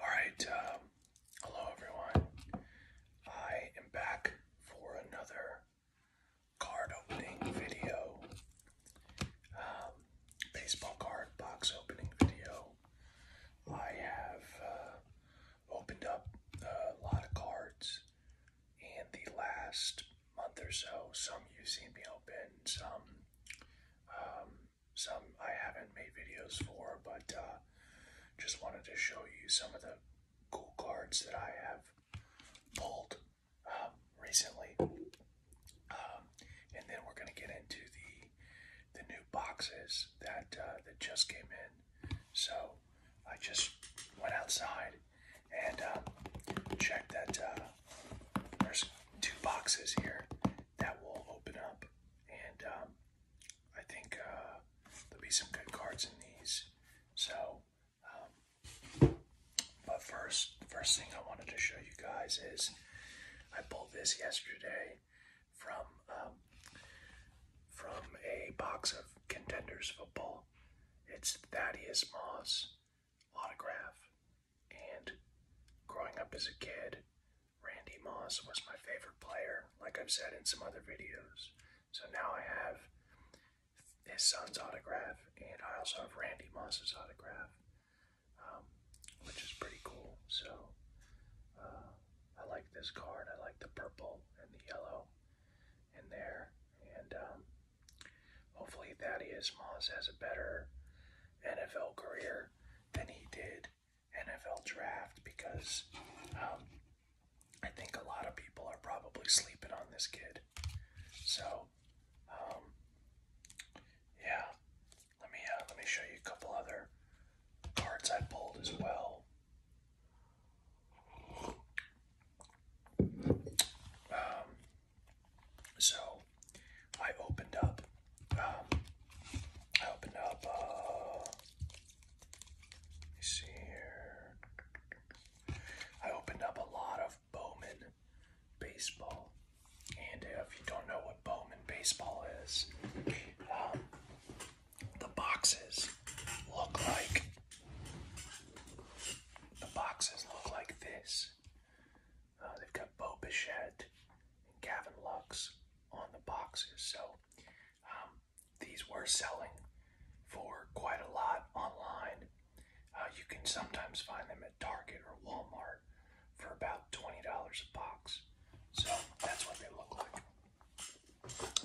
All right, um, hello everyone. I am back for another card opening video, um, baseball card box opening video. I have uh, opened up a lot of cards in the last month or so. Some you've seen me open, some um, some I haven't made videos for, but uh, just wanted to show you some of the cool cards that I have pulled um, recently. Um, and then we're going to get into the the new boxes that uh, that just came in. So I just went outside and um, checked that uh, there's two boxes here that will open up and um, I think uh, there'll be some good cards in these. So, um, but first, first thing I wanted to show you guys is I pulled this yesterday from um, from a box of contenders football. It's Thaddeus Moss autograph. And growing up as a kid, Randy Moss was my favorite player, like I've said in some other videos. So now I have his son's autograph, and I also have Randy Moss's autograph, um, which is pretty cool. So uh, I like this card. I like the purple and the yellow in there. And um, hopefully Thaddeus Moss has a better NFL career than he did NFL draft because um, I think a lot of people are probably sleeping on this kid. So, um, yeah, let me uh, let me show you a couple other cards I pulled as well. Um, so I opened up, um, I opened up, uh, let me see here. I opened up a lot of Bowman baseball. And if you don't know what Bowman baseball is, um, the boxes look like the boxes look like this. Uh, they've got Bo Bichette and Gavin Lux on the boxes. So um, these were selling for quite a lot online. Uh, you can sometimes find them at Target or Walmart for about $20 a box. So that's what they look like.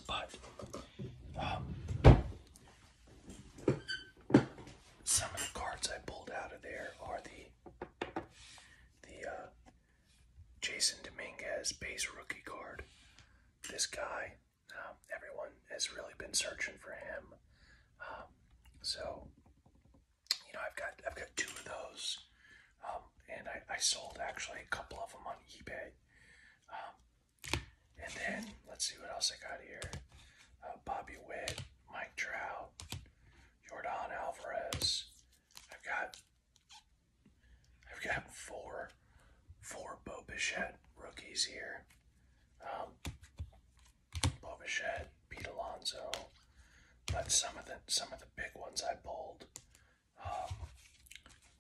But um, some of the cards I pulled out of there are the the uh, Jason Dominguez, base rookie card. This guy, um, everyone has really been searching for him. Um, so, you know, I've got I've got two of those, um, and I, I sold actually a couple of them on eBay. and then let's see what else I got here: uh, Bobby Witt, Mike Trout, Jordan Alvarez, I've got I've got four four Bo rookies here. Um, Pete Alonso, but some of the some of the big ones I pulled um,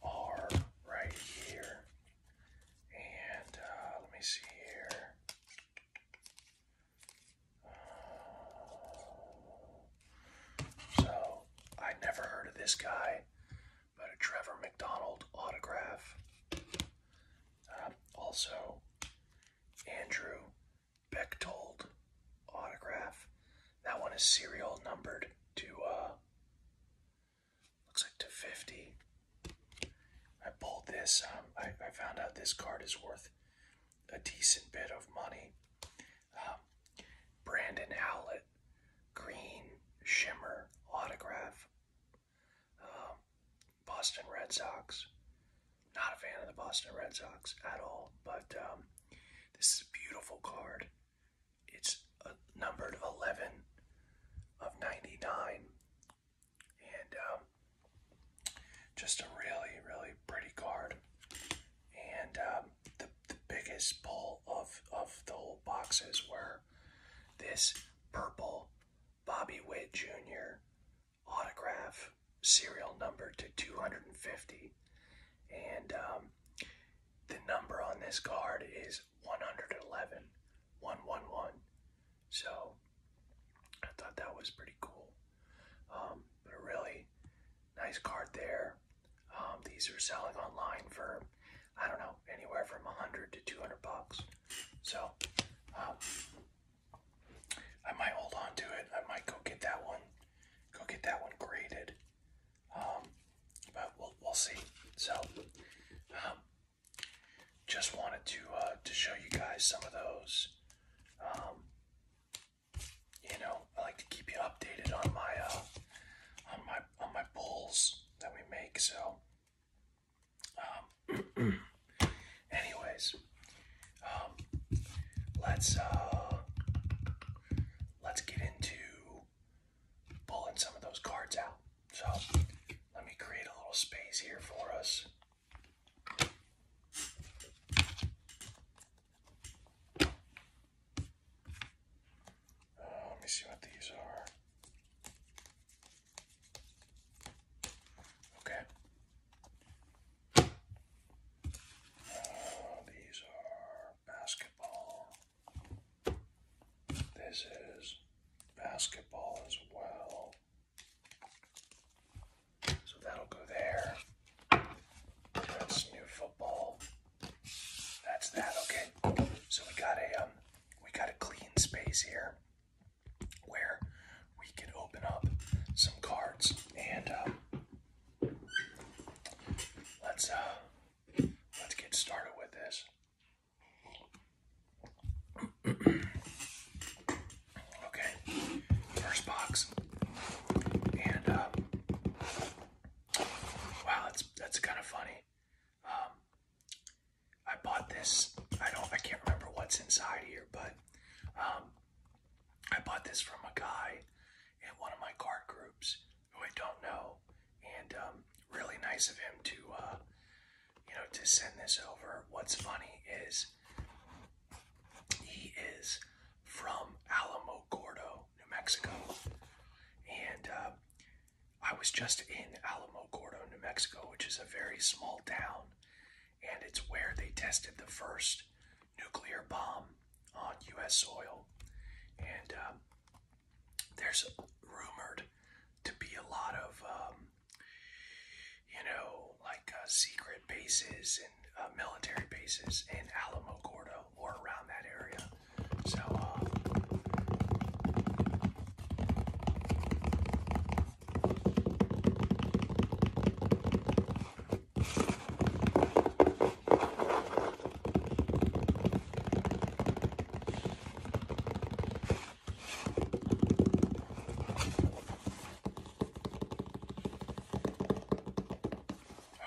are right here. And uh, let me see here. So, I never heard of this guy, but a Trevor McDonald autograph. Uh, also, Andrew Beck told autograph. That one is serial numbered to, uh, looks like to 50. I pulled this, um, I, I found out this card is worth a decent bit of money. Um, Brandon Howlett, Green Shimmer autograph. Um, Boston Red Sox. Not a fan of the Boston Red Sox at all, but um, this is a beautiful card. It's uh, numbered 11 of 99, and just a really, really pretty card and um, the, the biggest pull of of the whole boxes were this purple Bobby Witt Jr. autograph, serial number to 250, and um, the number on this card is 111, 111. So I thought that was pretty cool. Um, but a really nice card there. Um, these are selling online for, I don't know, anywhere from 100 to 200 bucks. So um, I might hold on to it. I might go get that one, go get that one graded. but we'll, we'll see. So just wanted to uh, to show you guys some of those you know, I like to keep you updated on my uh, on my on my bowls that we make. So, um, anyways, um, let's uh, let's get into pulling some of those cards out. So, let me create a little space here for us let me see what these are. Okay. Uh, these are basketball. This is basketball as well. So that'll go there. That's new football. That's that. Okay. So we got a um, we got a clean space here where we can open up some cards and um, let's uh, let's get started with this. okay. First box. Uh, wow, that's that's kind of funny. Um, I bought this. I don't. I can't remember what's inside here, but um, I bought this from a guy in one of my card groups who I don't know, and um, really nice of him to, uh, you know, to send this over. What's funny is he is from Alamo Gordo, New Mexico. And uh, I was just in Alamo Gordo, New Mexico, which is a very small town. And it's where they tested the first nuclear bomb on U.S. soil. And um, there's rumored to be a lot of, um, you know, like uh, secret bases uh, military bases in Alamo Gordo or around that area. So, uh,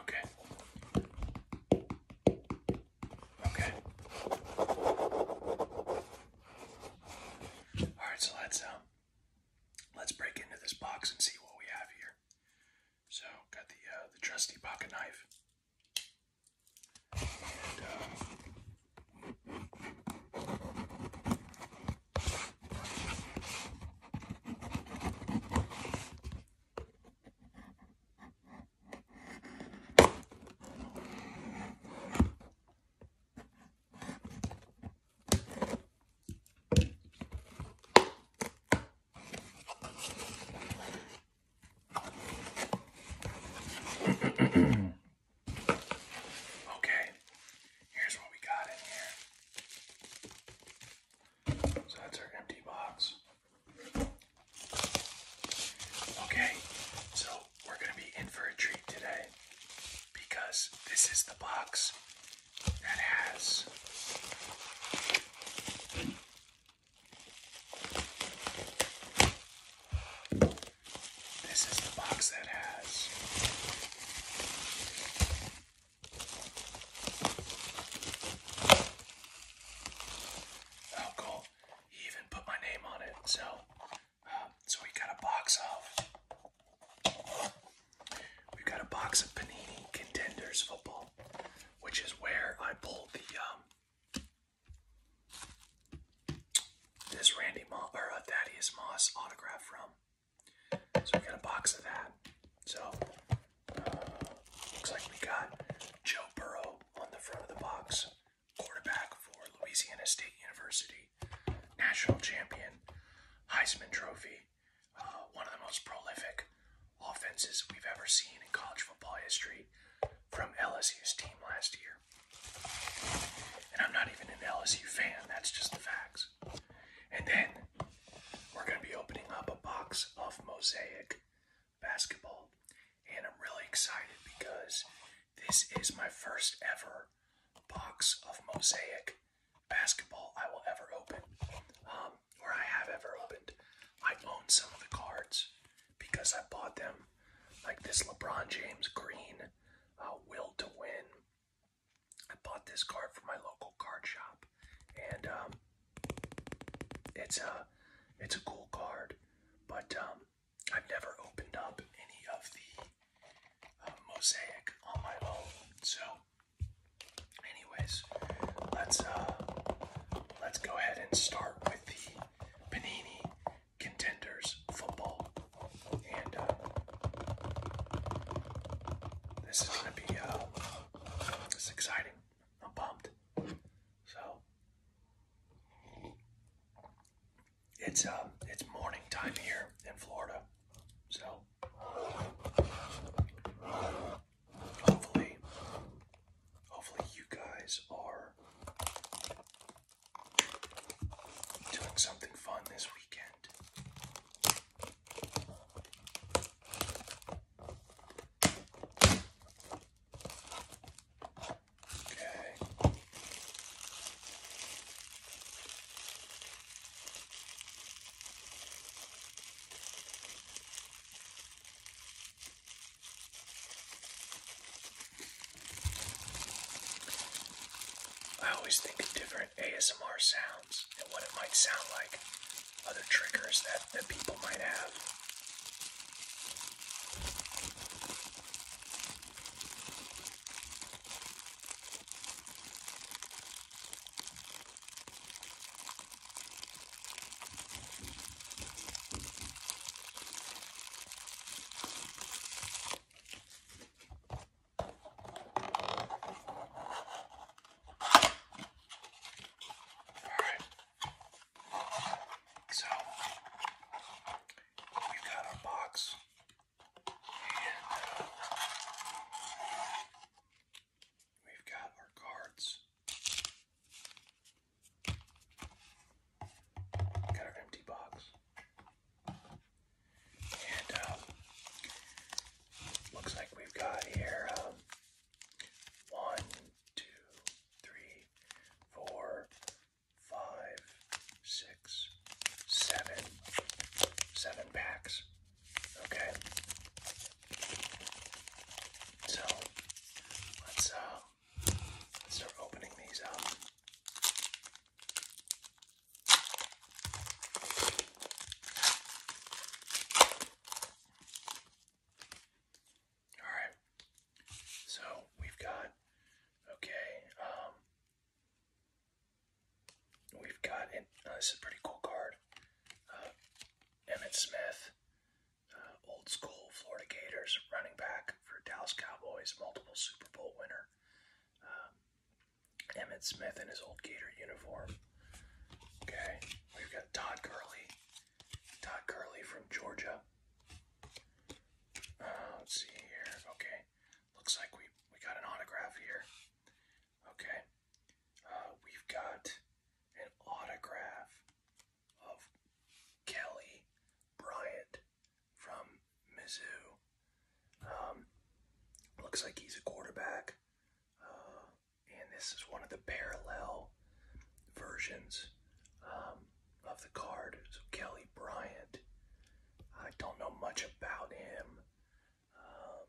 Okay. Okay. All right, so let's um let's break into this box and see what we have here. So, got the uh, the trusty pocket knife. Uh, Okay, here's what we got in here. So that's our empty box. Okay, so we're going to be in for a treat today because this is the box that has this is the box that has Oh, He even put my name on it. So, um, so we got a box of. We've got a box of Panini Contenders football, which is where I pulled the um. This Randy Moss or uh, Thaddeus Moss autograph from. So we got a box of that. So uh, looks like we got Joe Burrow on the front of the box, quarterback for Louisiana State University, national champion, Heisman Trophy, uh, one of the most prolific offenses we've ever seen in college football history from LSU's team last year. And I'm not even an LSU fan, that's just the facts. And then we're going to be opening up a box of Mosaic basketball, and I'm really excited because this is my first ever box of Mosaic basketball I will ever open, um, or I have ever opened. I own some of the cards because I bought them, like this LeBron James Green, uh, Will to Win, I bought this card from my local card shop, and um, it's a it's a cool card, but um, I've never opened up any of the uh, mosaic on my own. So, anyways, let's uh, let's go ahead and start with the Panini Contenders football, and uh, this is gonna be. Uh, it's exciting. I'm pumped. So it's um it's morning time here in Florida. So hopefully hopefully you guys are doing something fun this weekend. I always think of different ASMR sounds and what it might sound like other triggers that, that people might have. Alright. So, we've got our box. Uh, we've got our cards. Got our empty box. And um, looks like we've got here um, one, two, three, four, five, six, seven, seven packs. Okay. So let's uh let's start opening these up. All right. So we've got okay. Um, we've got and uh, this is a pretty cool card. Uh, Emmitt Smith, uh, old school Florida Gators running back for Dallas Cowboys, multiple Super Bowl winner. Um, Emmitt Smith in his old Gator uniform. Okay. We've got Todd Gurley. Todd Gurley from Georgia. Uh, let's see here. Okay. Looks like we, we got an autograph here. Okay. Uh, we've got an autograph of Kelly Bryant from Mizzou. Um, looks like he's a quarterback. Uh, and this is one of the parallel versions um, of the card. So Kelly Bryant. I don't know much about him. Um,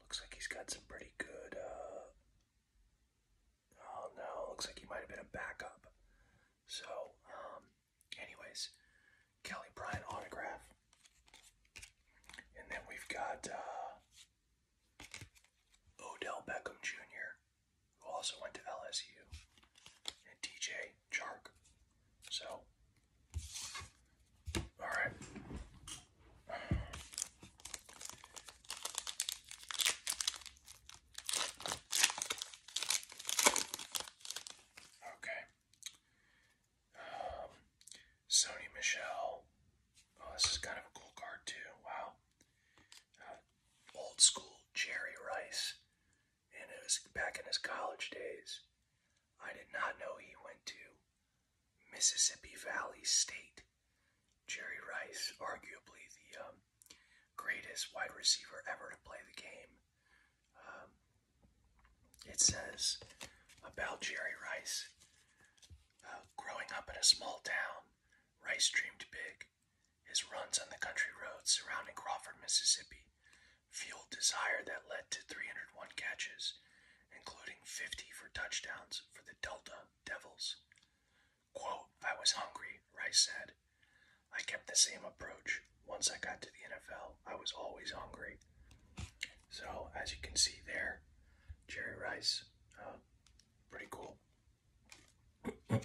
looks like he's got some pretty good. Uh, oh no, looks like he might have been a backup. So, um, anyways, Kelly Bryant autograph. And then we've got uh, Odell Beckham Jr., who also went to LSU, and DJ Chark. So, all right. Okay. Um, Sony Michelle. Oh, this is kind of a cool card too. Wow. Uh, old school Jerry Rice, and it was back in his college days. I did not know he went to Mississippi Valley State. Jerry Rice, arguably the um, greatest wide receiver ever to play the game. Um, it says about Jerry Rice uh, growing up in a small town, Rice dreamed big. His runs on the country roads surrounding Crawford, Mississippi, fueled desire that led to 301 catches, including 50 for touchdowns for the Delta Devils. Quote, I was hungry, Rice said. I kept the same approach. Once I got to the NFL, I was always hungry. So, as you can see there, Jerry Rice pretty cool. okay,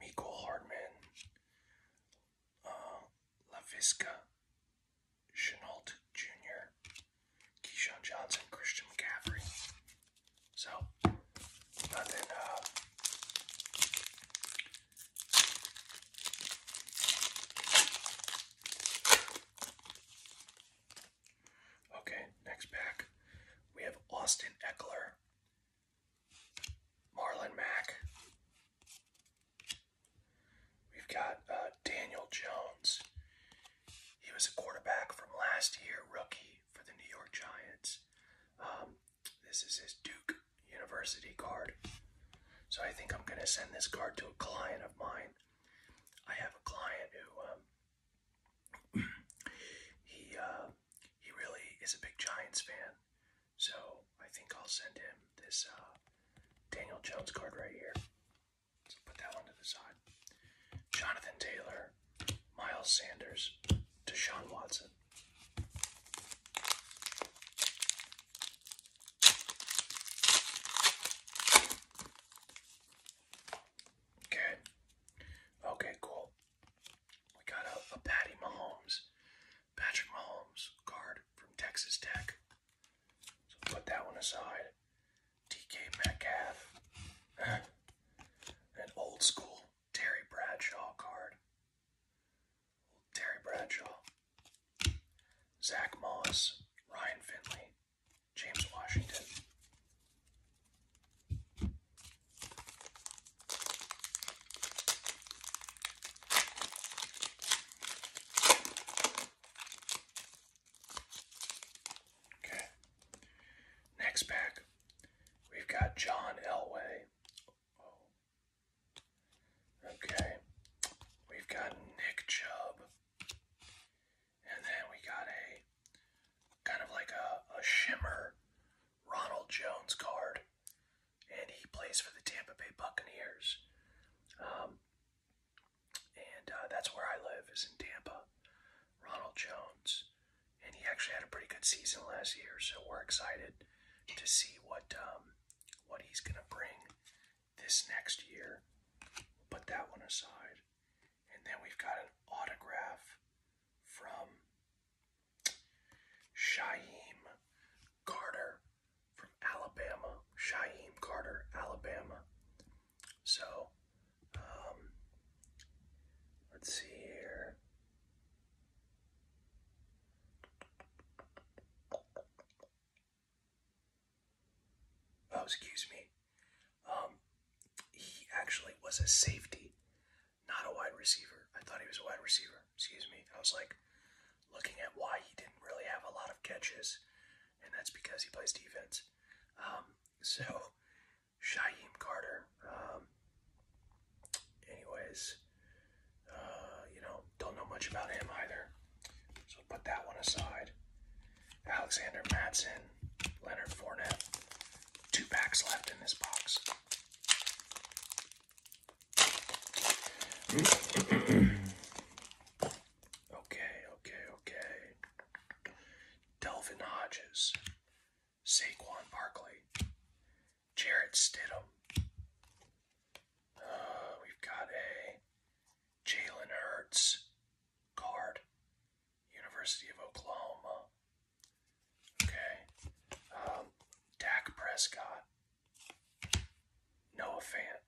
Miko Hardman, uh, LaVisca Chenault Jr., Keyshawn Johnson, Christian McCaffrey. So, uh, Okay, next pack. We have Austin Eckler, Marlon Mack. We've got uh, Daniel Jones. He was a quarterback from last year, rookie for the New York Giants. Um, this is his Duke University card. So I think I'm going to send this card to a client of mine I have a client who um, he uh, he really is a big Giants fan, so I think I'll send him this uh, Daniel Jones card right here. So put that one to the side. Jonathan Taylor, Miles Sanders, Deshaun Watson. Okay. Okay, cool. We got a, a Patty Mahomes, Patrick Mahomes card from Texas Tech. So put that one aside. DK Metcalf. An old school Terry Bradshaw card. Terry Bradshaw. Zach Moss. Ryan Finley. James Washington. Okay. Next pack, we've got John Elway. Oh. Okay. We've got Nick Chubb. And then we got a kind of like a, a shimmer Ronald Jones card. And he plays for the Tampa Bay Buccaneers. Um, and uh, that's where I live, is in Tampa. Ronald Jones. And he actually had a pretty good season last year, so we're excited to see what um, what he's going to bring this next year. We'll put that one aside. And then we've got an autograph from Shaheem Carter from Alabama. Shaheem Carter, Alabama. So, um, let's see here. Oh, excuse me. Um, he actually was a safety, not a wide receiver. I thought he was a wide receiver. Excuse me. I was like looking at why he didn't really have a lot of catches, and that's because he plays defense. Um, so, Shaheem Carter. Um, anyways, uh, you know, don't know much about him either put that one aside. Alexander Matson, Leonard Fournette. Two backs left in this box. okay, okay, okay. Delvin Hodges, Saquon Barkley, Jarrett Stidham. Uh, we've got a Jalen Hurts, guard, University of Oklahoma. Okay. Um, Dak Prescott, Noah Fant.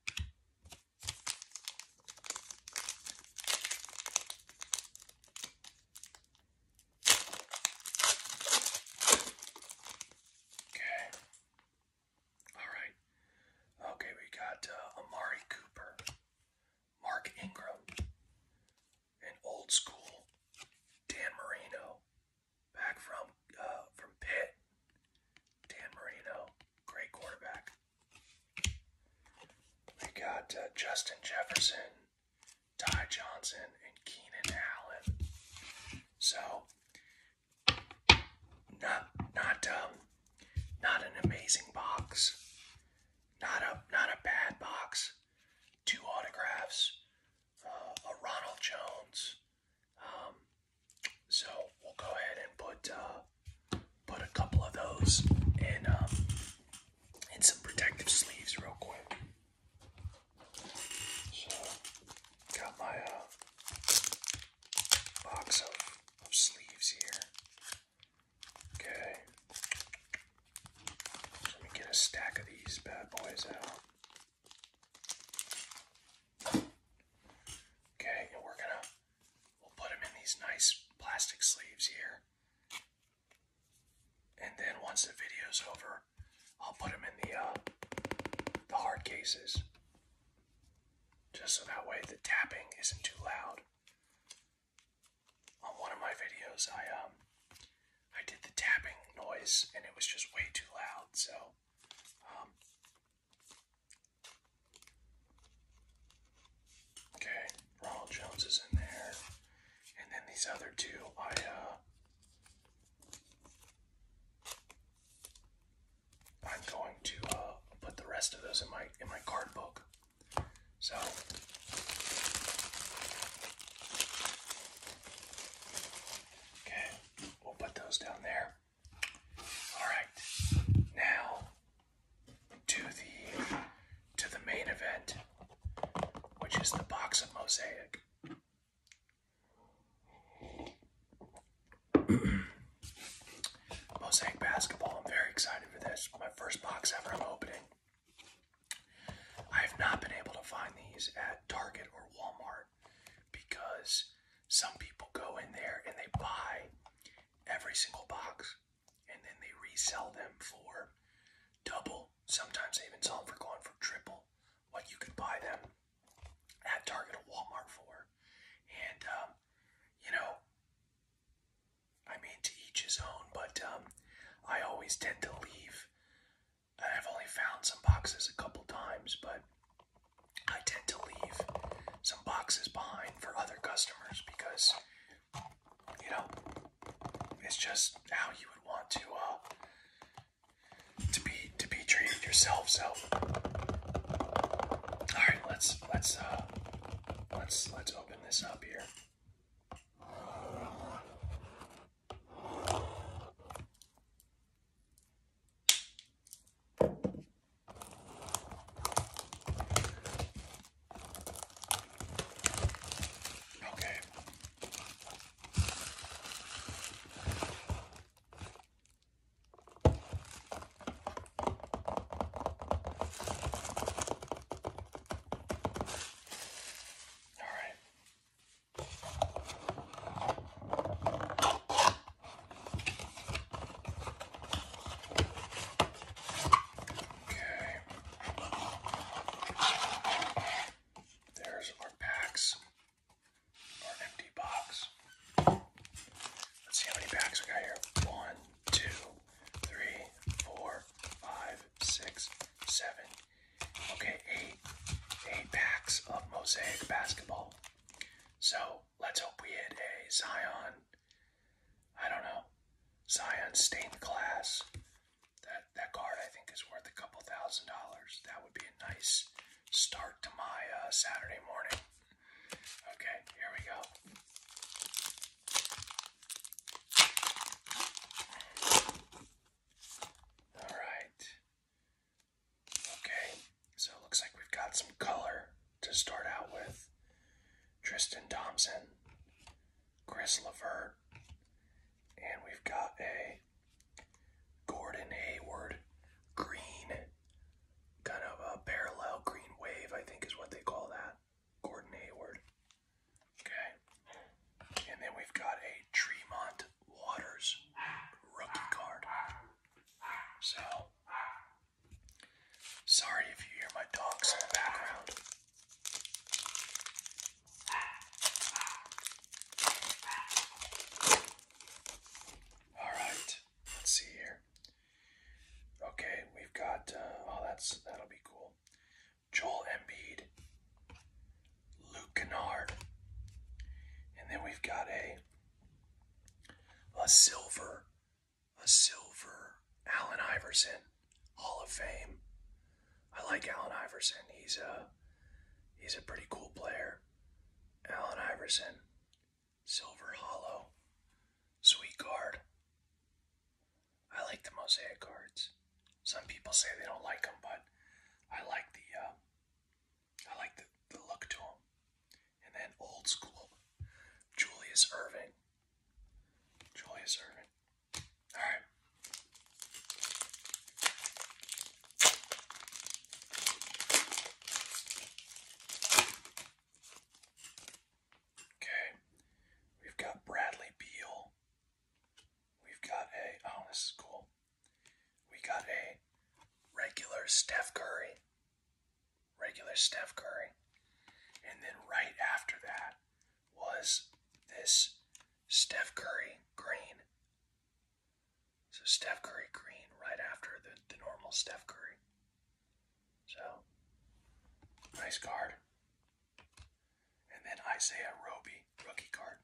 Okay. All right. Okay, we got uh, Amari Cooper. Mark Ingram, an old school Dan Marino, back from uh, from Pitt. Dan Marino, great quarterback. We got uh, Justin Jefferson, Ty Johnson, and Keenan Allen. So not not um not an amazing box. Not a not a bad box. Two autographs. a Ronald Jones. Um, so we'll go ahead and put uh, put a couple of those in um, some protective sleeves real quick. So got my uh, box of, of sleeves here. Okay. Let me get a stack of these bad boys out. Okay, and we're gonna we'll put them in these nice plastic sleeves here. And then once the video's over, I'll put them in the uh, the hard cases. Just so that way the tapping isn't too loud on one of my videos, I um, I did the tapping noise and it was just way too loud. So, um, okay, Ronald Jones is in there, and then these other two, I uh, I'm going to uh, put the rest of those in my in my card book. So okay, we'll put those down there. All right, now to the to the main event, which is the box of mosaic. Mosaic Basketball. I'm very excited for this. My first box ever I'm opening. I have not been able to find these at Target or Walmart because some people go in there and they buy every single box and then they resell them for double. Sometimes they even sell them for going for triple what you could buy them at Target or Walmart for. And, um, you know, I mean, to each his own, but um, I always tend to leave. I've only found some boxes a couple times, but I tend to leave some boxes behind for other customers because, you know, it's just how you would want to uh, to be to be treated yourself. So, all right, let's let's uh, let's let's open this up here. Okay. All right. Okay. There's our packs. Our empty box. Let's see how many packs we got here. One, two, three, four, five, six, seven. Okay, eight, eight packs of Mosaic basketball. So let's hope we hit a Zion. I don't know. Zion stained glass. That that card I think is worth a couple thousand dollars. That would be a nice start to my uh, Saturday morning. Okay, here we go. All right. Okay, so it looks like we've got some color to start out with. Tristan Thompson, Chris Lavert, and we've got a Gordon Hayward green, kind of a parallel green wave, I think is what they call that. Gordon Hayward. Okay. And then we've got a Tremont Waters rookie card. So, sorry if you hear my dogs in the background. Alright, let's see here. Okay, we've got. Uh, oh, that's that'll be cool. Joel Embiid, Luke Kennard, and then we've got a a silver, a silver Allen Iverson Hall of Fame. I like Allen Iverson. He's a he's a pretty cool player. Allen Iverson, silver hollow, sweet guard. I like the mosaic cards. Some people say they don't like them, but I like the uh, I like the, the look to them. And then old school Julius Irving. Julius Irving. All right. Okay. We've got Bradley Beal. We've got a oh this is cool. We got a regular Steph Curry. Regular Steph Curry. And then right after that was this Steph Curry green. So Steph Curry green right after the, the normal Steph Curry. So, nice card. And then Isaiah Roby, rookie card.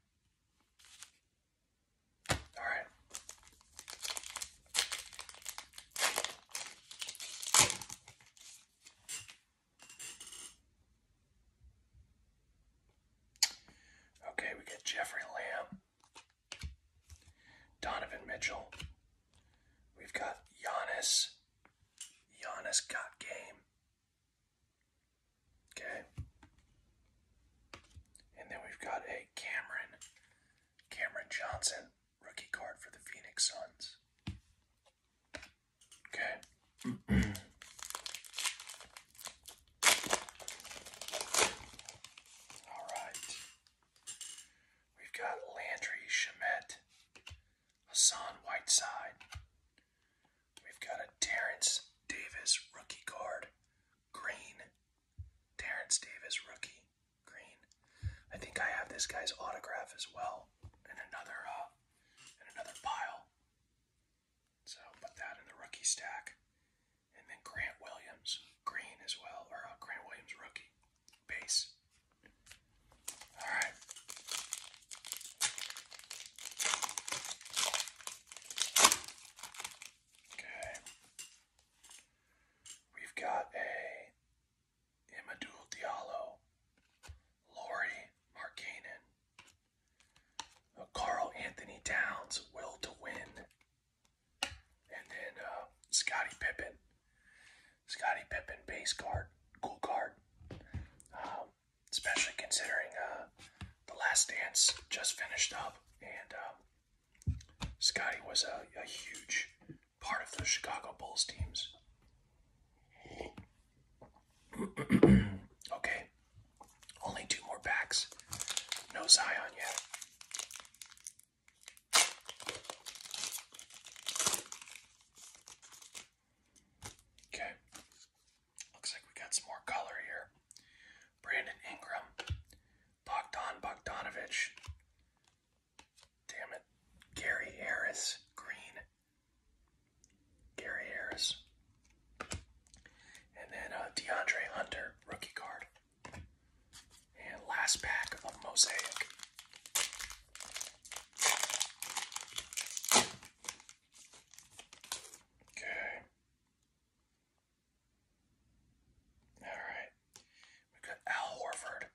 All right. Okay, we get Jeffrey Lamb, Donovan Mitchell. We've got Giannis Giannis got game. Okay. And then we've got a Cameron. Cameron Johnson, rookie card for the Phoenix Suns. Okay. All right. We've got Landry Shamet, Hassan Whiteside. We've got a Terrence Davis rookie card, green. Terrence Davis rookie, green. I think I have this guy's autograph as well And another uh, in another pile. So put that in the rookie stack, and then Grant Williams, green as well, or uh, Grant Williams rookie base. All right. Okay. We've got a Imadul Diallo, Laurie Markanen, a Carl Anthony Towns, Will to Win, and then uh, Scottie Pippen. Scotty Pippen base card, cool card. Um, especially considering uh, the Last Dance just finished up, and um, Scotty was a, a huge part of the Chicago Bulls teams. okay, only two more packs. No Zion yet. Okay. Looks like we got some more color here. Brandon Ingram. Bogdan Bogdanovich. Damn it. Gary Harris. Green. Gary Harris. And then uh, DeAndre Hunter, rookie card. And last pack of Mosaic. Okay. All right. got Al Horford,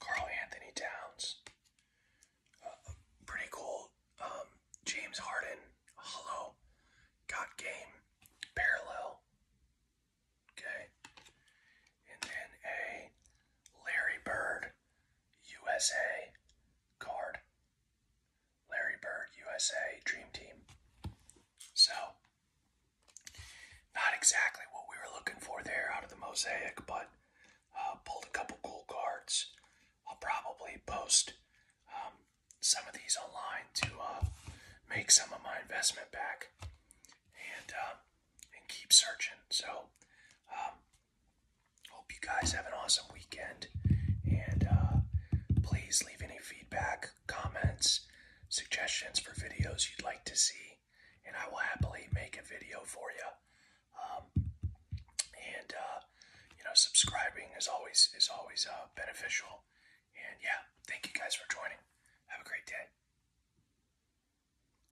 Carl Anthony Towns, uh, pretty cool. Um, James Harden, hello, got game, parallel. Okay. And then a Larry Bird, USA card. Larry Bird, USA, Dream Team. So, not exactly what we were looking for there out of the mosaic, but uh, pulled a couple cool cards. I'll probably post um, some of these online to uh, make some of my investment back. And um, and keep searching. So, um, hope you guys have an awesome weekend. And uh, please leave any feedback, comments, suggestions for videos you'd like to see. And I will happily make a video for you. Um, and, uh, you know, subscribing is always, is always uh, beneficial. And yeah, thank you guys for joining. Have a great day.